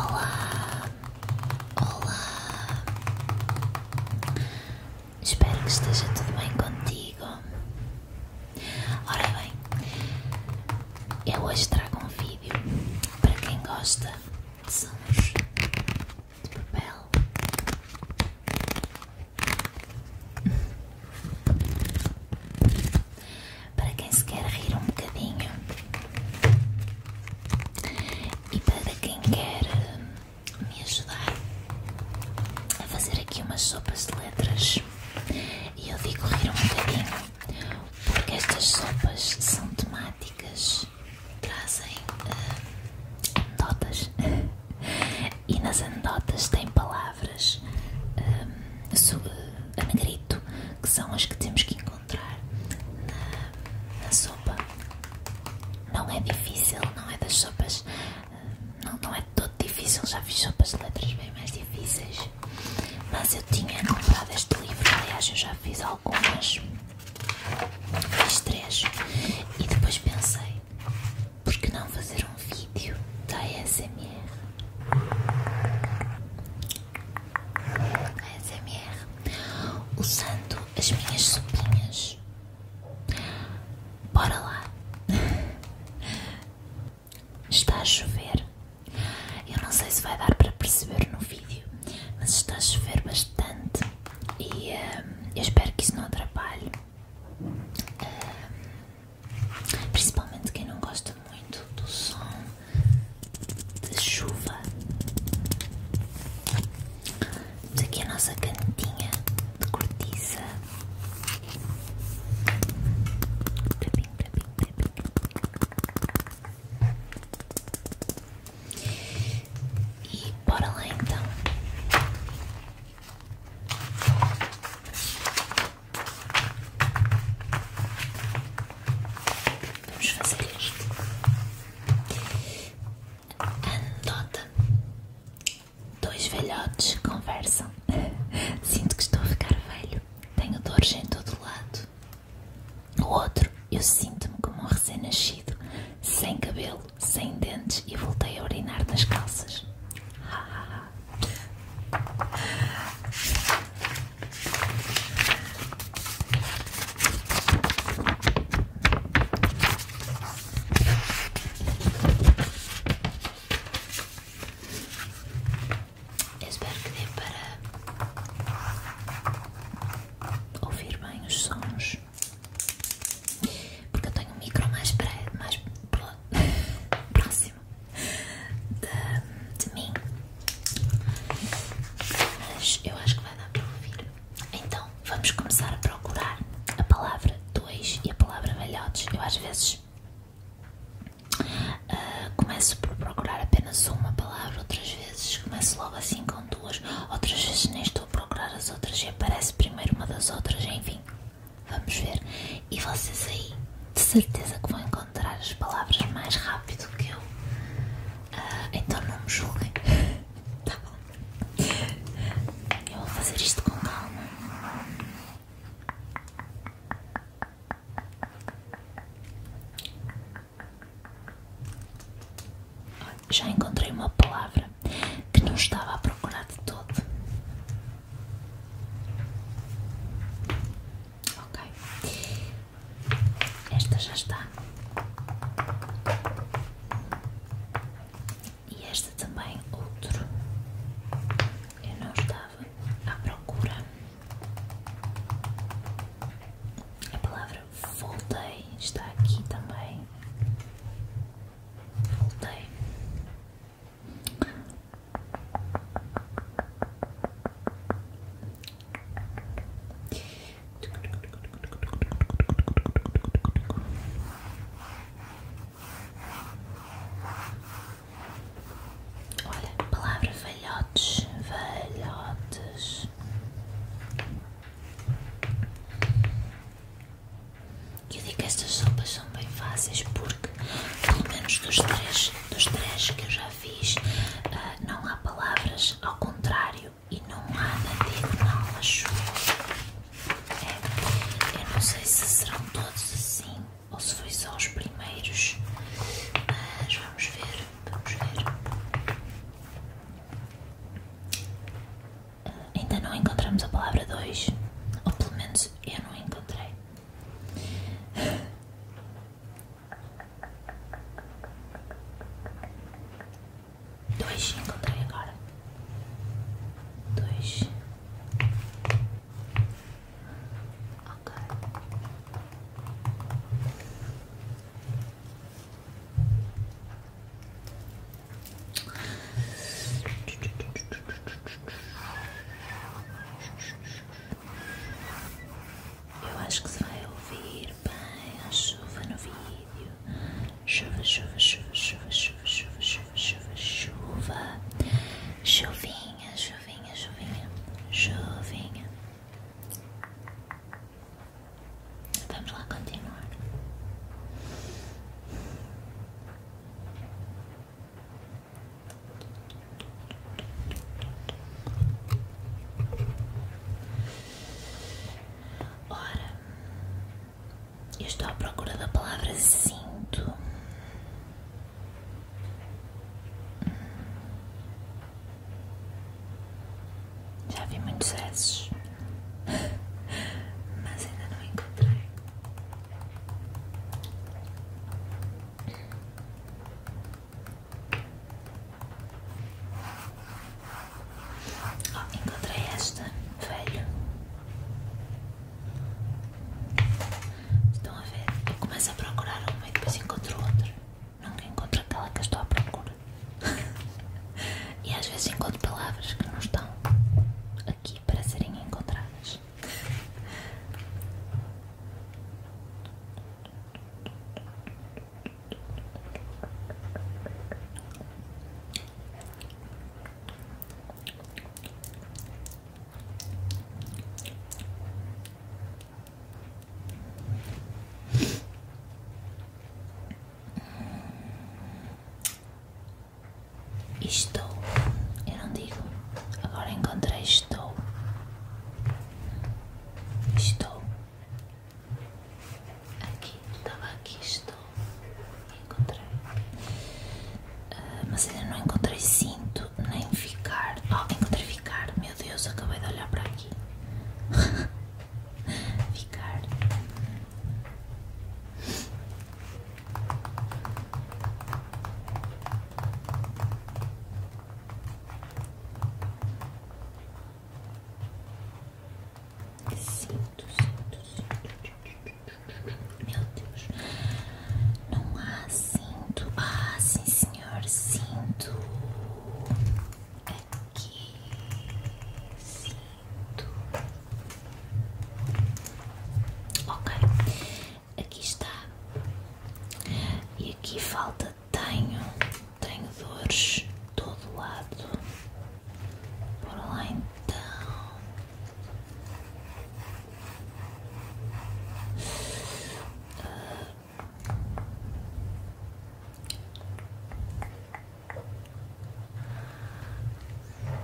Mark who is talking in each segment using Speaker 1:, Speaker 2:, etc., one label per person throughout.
Speaker 1: Olá, olá. Espero que esteja tudo bem contigo. Ora bem, eu hoje trago um vídeo para quem gosta de sons de papel para quem se quer rir um bocadinho e para quem quer hum, me ajudar a fazer aqui umas sopas de letras. E eu digo rir um bocadinho porque estas sopas são temáticas, trazem uh, hum, anedotas e nas anedotas tem palavras. Um, a negrita que são as que temos que encontrar na, sopa. Não é difícil, não é das sopas, não, não é todo difícil, já fiz sopas de letras bem mais difíceis. Mas eu tinha comprado este livro, aliás eu já fiz algumas, fiz três, e depois pensei, por que não fazer um vídeo da ASMR? ASMR usando as minhas sopinhas. Bora lá! Está a chover. Eu não sei se vai dar para perceber no vídeo, mas está a chover bastante e eh, eu espero que isso não atrapalhe. Uh, Principalmente quem não gosta muito do som da chuva. Temos aqui a nossa canetinha de cortiça. E bora lá então. Vamos fazer isto. Anota. Dois velhotes conversam. Sinto que estou a ficar velho. Tenho dores em todo lado. O outro, eu sinto-me como um recém-nascido, sem cabelo, sem dentes e voltei a urinar nas calças espero que dê para ouvir bem os sons, porque eu tenho um micro mais, mais próximo de mim. Mas eu acho que vai dar para ouvir. Então vamos começar a procurar a palavra dois e a palavra velhotes. Eu às vezes ah, começo por procurar apenas uma palavra, outras vezes começo logo assim com duas, outras vezes nem estou a procurar as outras e aparece primeiro uma das outras, enfim. Vamos ver. E vocês aí, de certeza que vão encontrar as palavras mais rápido que eu. Ah, então não me julguem. tá bom. Eu vou fazer isto com calma. Já encontrei uma palavra que não estava a procurar de todo. Ok, esta já está e esta também outro. Eu não estava à procura. A palavra voltei está aqui também. Voltei. Olha, palavra velhotes, velhotes. Eu digo que estas sopas são bem fáceis porque, pelo menos dos três, dos três que eu já fiz, ah, não há palavras ao contrário e não há nada de mal acho é, eu não sei se serão todos assim ou se foi só os primeiros, mas vamos ver, vamos ver. Ah, ainda não encontramos a palavra 2, ou pelo menos eu não encontrei. Dois encontrei agora. Dois. Ok. Eu acho que se vai ouvir bem a chuva no vídeo. Chuva, chuva, chuva, chuva, chuva, chuva, chuva, chuva, chuva. Chuvinha, chuvinha, chuvinha, chuvinha. Vamos lá continuar. Ora, eu estou à procura da palavra sinto. Já vi muitos esses, mas ainda não encontrei encontrei esta, velho. Estão a ver? Eu começo a procurar um e depois encontro outro Nunca encontro aquela que eu estou à procura. e às vezes encontro palavras que não estão aqui para serem encontradas. Estou, eu não digo, agora encontrei estou Estou aqui, estava aqui, estou encontrei, ah, mas ainda não encontrei cinto nem ficar. Oh, encontrei ficar, meu Deus, acabei de olhar para aqui. ficar. Sinto, sinto, sinto. Meu Deus. Não há sinto, Ah, sim, senhor. sinto, Aqui. Cinto. Ok. Aqui está. E aqui falta tenho. Tenho dores de todo lado. por lá então. Uh.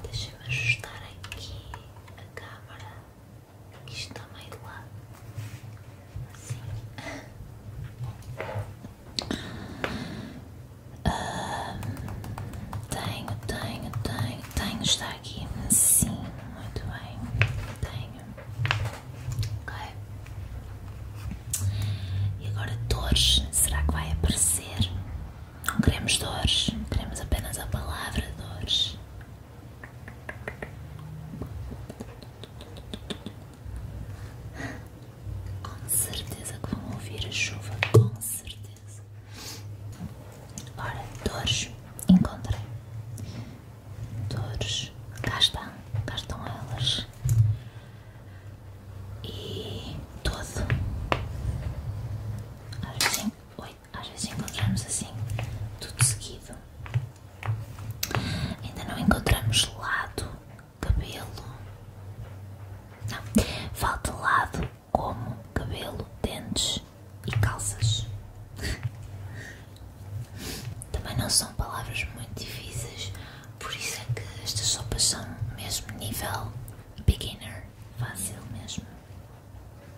Speaker 1: Deixa-me ajustar aqui a câmera. Isto está meio do lado. Assim. Ah, tenho, tenho, tenho, tenho. Está aqui. Sim, muito bem. Tenho. Ok. E agora dores, será que vai aparecer? Não queremos dores, queremos apenas a palavra dores. Com certeza que vão ouvir a chuva, com certeza. Ora, dores, encontrei. Dores, cá estão, cá estão elas. E todo. Às vezes, às vezes encontramos assim, tudo seguido. Ainda não encontramos lado, cabelo. Não, falta lado como cabelo, dentes e calças. Também não são palavras muito difíceis, por isso é que estas sopas são mesmo nível beginner, fácil mesmo.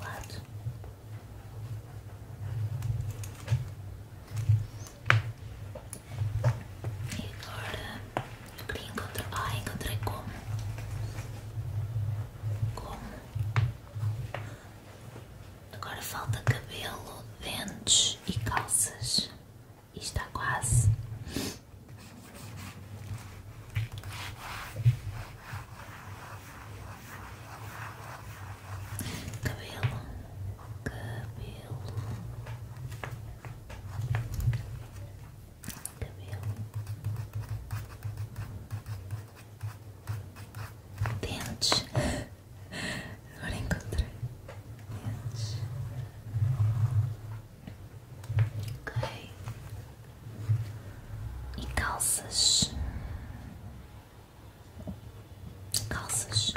Speaker 1: lado. E agora eu queria encontrar. Ah, encontrei como? Como? Agora falta cabelo, dentes e calças. E está quase. Cabelo, cabelo, cabelo, dentes. Agora encontrei dentes. Ok. E calças. Calças.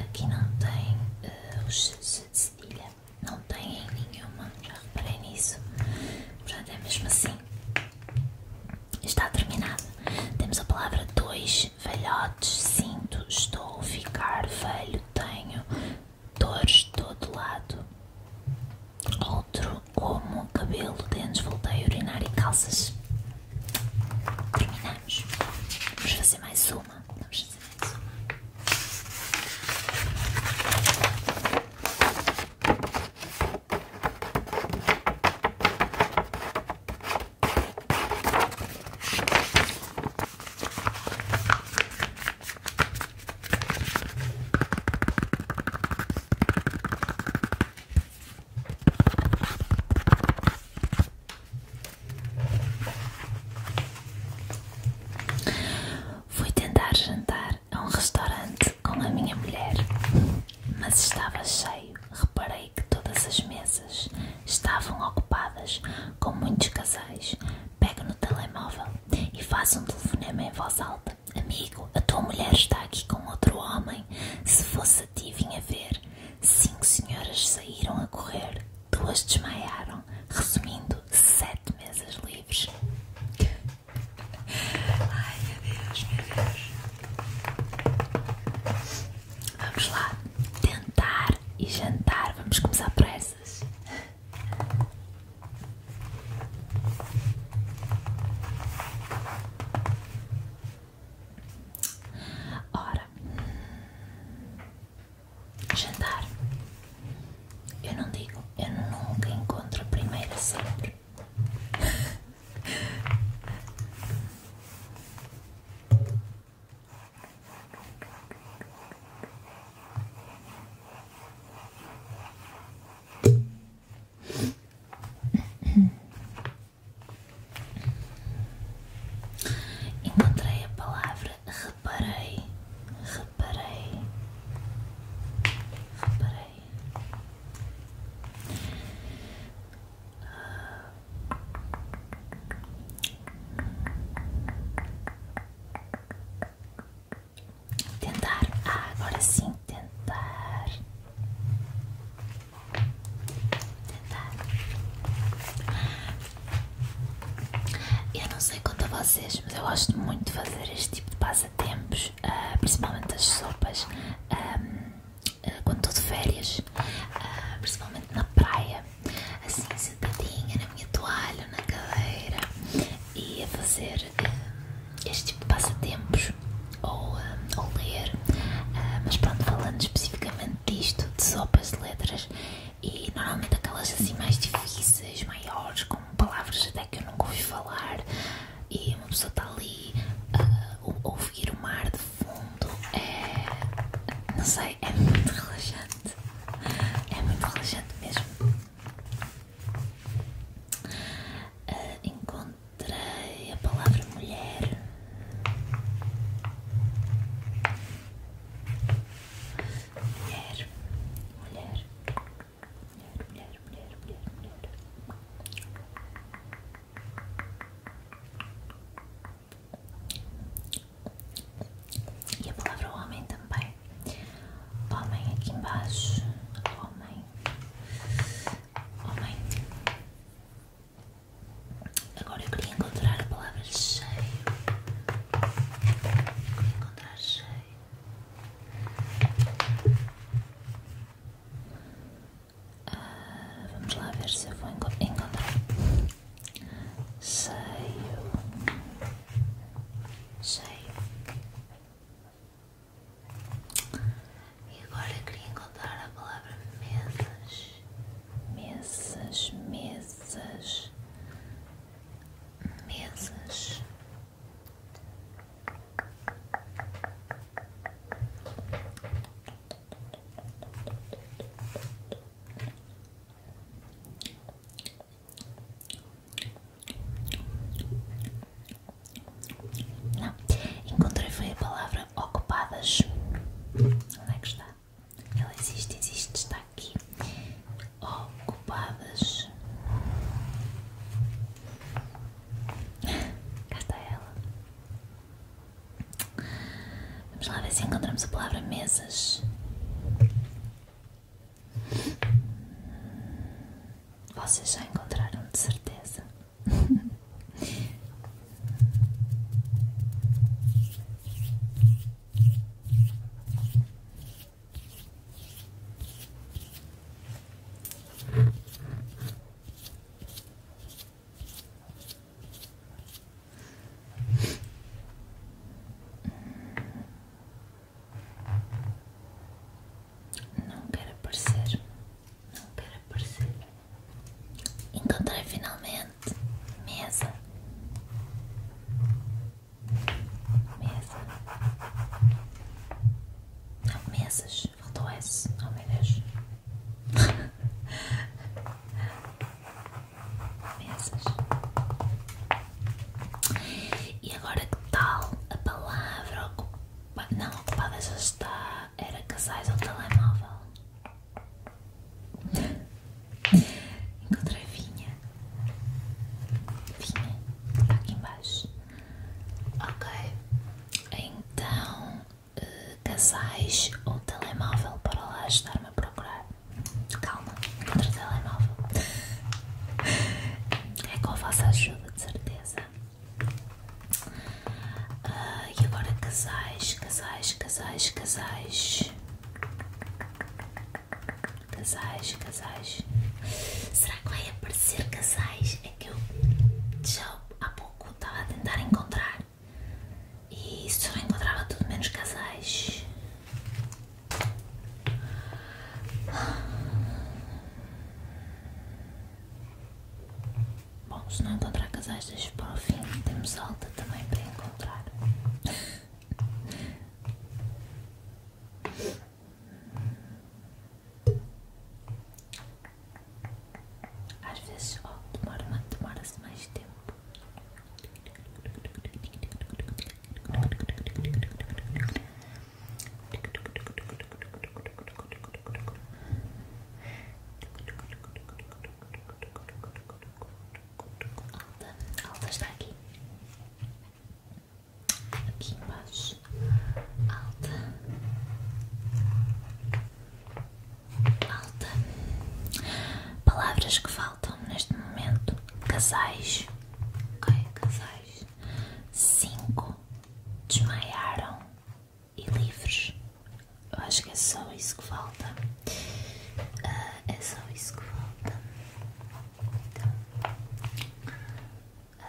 Speaker 1: Aqui não tem uh, os de cedilha. Não tem nenhuma. Já reparei nisso. Mas é mesmo assim. Está terminado. Temos a palavra dois velhotes. Sinto, estou, ficar, velho, tenho, dores de todo lado. Outro, como cabelo, dentes, voltei a urinar e calças. Terminamos. Vamos fazer mais uma. Vamos fazer mais uma. Fui tentar jantar a um restaurante com a minha mulher, mas estava cheio. Reparei que todas as mesas estavam ocupadas com muitos casais. Pego no telemóvel e faça um telefonema em voz alta. Amigo, a tua mulher está aqui com outro homem. Se fosse a ti, vinha ver. Cinco senhoras saíram a correr, duas desmaiaram. Resumindo, sete mesas livres. Ai meu Deus, meu Deus. Vamos lá, tentar e jantar. Vamos começar por essas. Ora, jantar. Eu não digo, eu nunca encontro a primeira sempre. Encontrei a palavra reparei, reparei, reparei. Tentar. Ah, agora sim. Tentar. Tentar. Eu não sei quanto a vocês, mas eu gosto muito de fazer este tipo de passatempos, ah, principalmente as sopas, ah, quando estou de férias, principalmente na praia, assim sentadinha minha toalha na cadeira e a fazer eh, este tipo de passatempos ou, um, eh, ou ler, eh, mas pronto, falando especificamente disto, de sopas de letras e normalmente aquelas assim mais difíceis, maiores, com palavras até que eu nunca ouvi falar e uma pessoa está ali a uh, ouvir o mar de fundo, é, não sei, é muito relaxante, é muito relaxante mesmo. Ah, encontrei a palavra mulher. Mulher, mulher, mulher, mulher, mulher, mulher, mulher. E a palavra homem também. Homem aqui embaixo. Homem. Homem. Agora eu queria encontrar a palavra cheio. queria encontrar cheio. Ah, vamos lá ver se eu vou encontrar. Cheio. Cheio. E agora queria encontrar a palavra mesas, mesas, mesas, mesas. Não, encontrei foi a palavra ocupadas. Onde é que está? Ela existe, existe, está aqui. Ocupadas. Cá está ela. Vamos lá ver se encontramos a palavra mesas. Vocês já encontraram de certeza. Não quero aparecer. Não quero aparecer. Encontrei finalmente mesa. Mesa. Não, mesas. Faltou S. Oh meu mesas. E agora que tal a palavra ocupa... não ocupada já está? Era casais ou telemóvel? Encontrei vinha. Vinha. Está aqui embaixo. Ok. Então, eh, casais ou telemóvel para lá estar me a procurar. Calma falta contra o É com a vossa ajuda, de certeza. Ah, e agora casais, casais, casais, casais. Casais, casais. Será que vai aparecer casais? É que eu já há pouco estava a tentar encontrar e só encontrava tudo menos casais. Bom, se não encontrar casais, deixo para o fim. Temos alta também para encontrar. Às vezes, ó, demora-se demora mais tempo. Alta, alta está aqui. Aqui embaixo. Alta. Alta. Palavras que faltam neste momento. Casais. Ok, casais. Cinco desmaiaram e livres. Eu acho que é só isso que falta. Ah, é só isso que falta. Então. Ah.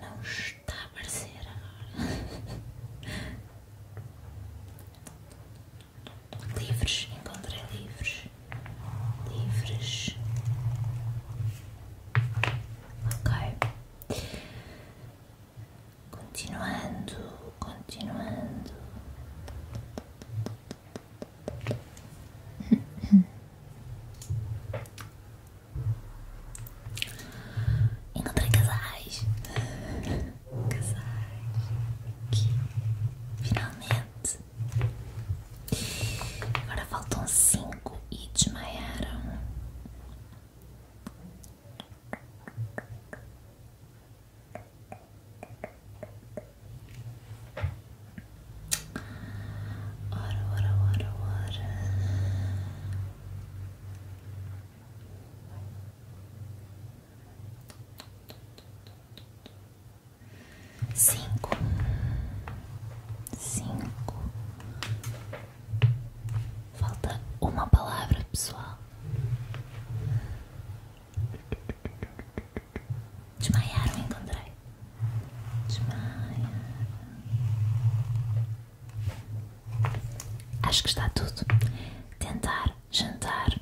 Speaker 1: Não está a aparecer agora. livres, encontrei livres. Livres. Ok. Continuando, continuando. Encontrei casais. Casais. Aqui. Finalmente. Agora faltam cinco e desmaiaram. Ora, ora, ora, ora. Cinco, cinco. Falta uma palavra, pessoal. Desmaiaram, encontrei. Desmaiaram. Acho que está tudo. Tentar, jantar,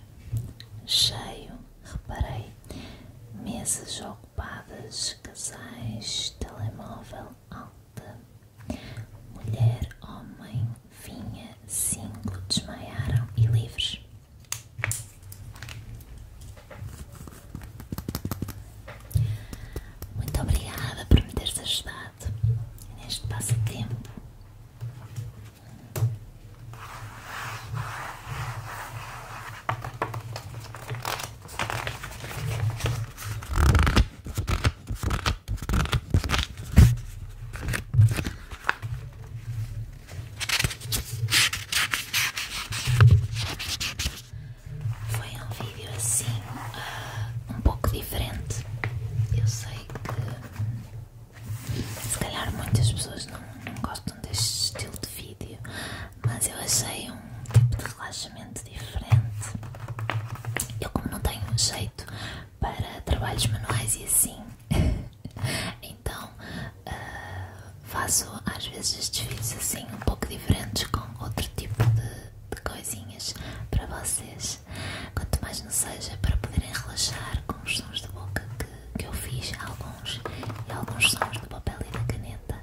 Speaker 1: cheio, reparei. Mesas ocupadas, casais, telemóvel, alta. Mulher, homem, vinha, cinco, desmaiaram e livres. Muito obrigada por me ter ajudado neste passatempo. Foi um vídeo assim, ah, um pouco diferente. Eu sei que se calhar muitas pessoas não, não gostam deste estilo de vídeo, mas eu achei um tipo de relaxamento diferente. Eu, como não tenho jeito para trabalhos manuais e assim, então então, ah, faço às vezes desfiles assim, um pouco diferentes, com outro tipo de, coisinhas para vocês. Quanto mais não seja, para poderem relaxar com os sons de boca que, que eu fiz, alguns, e alguns sons do papel e da caneta.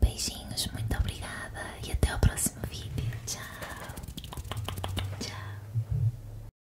Speaker 1: Beijinhos, muito obrigada e até o próximo vídeo. Tchau. Tchau.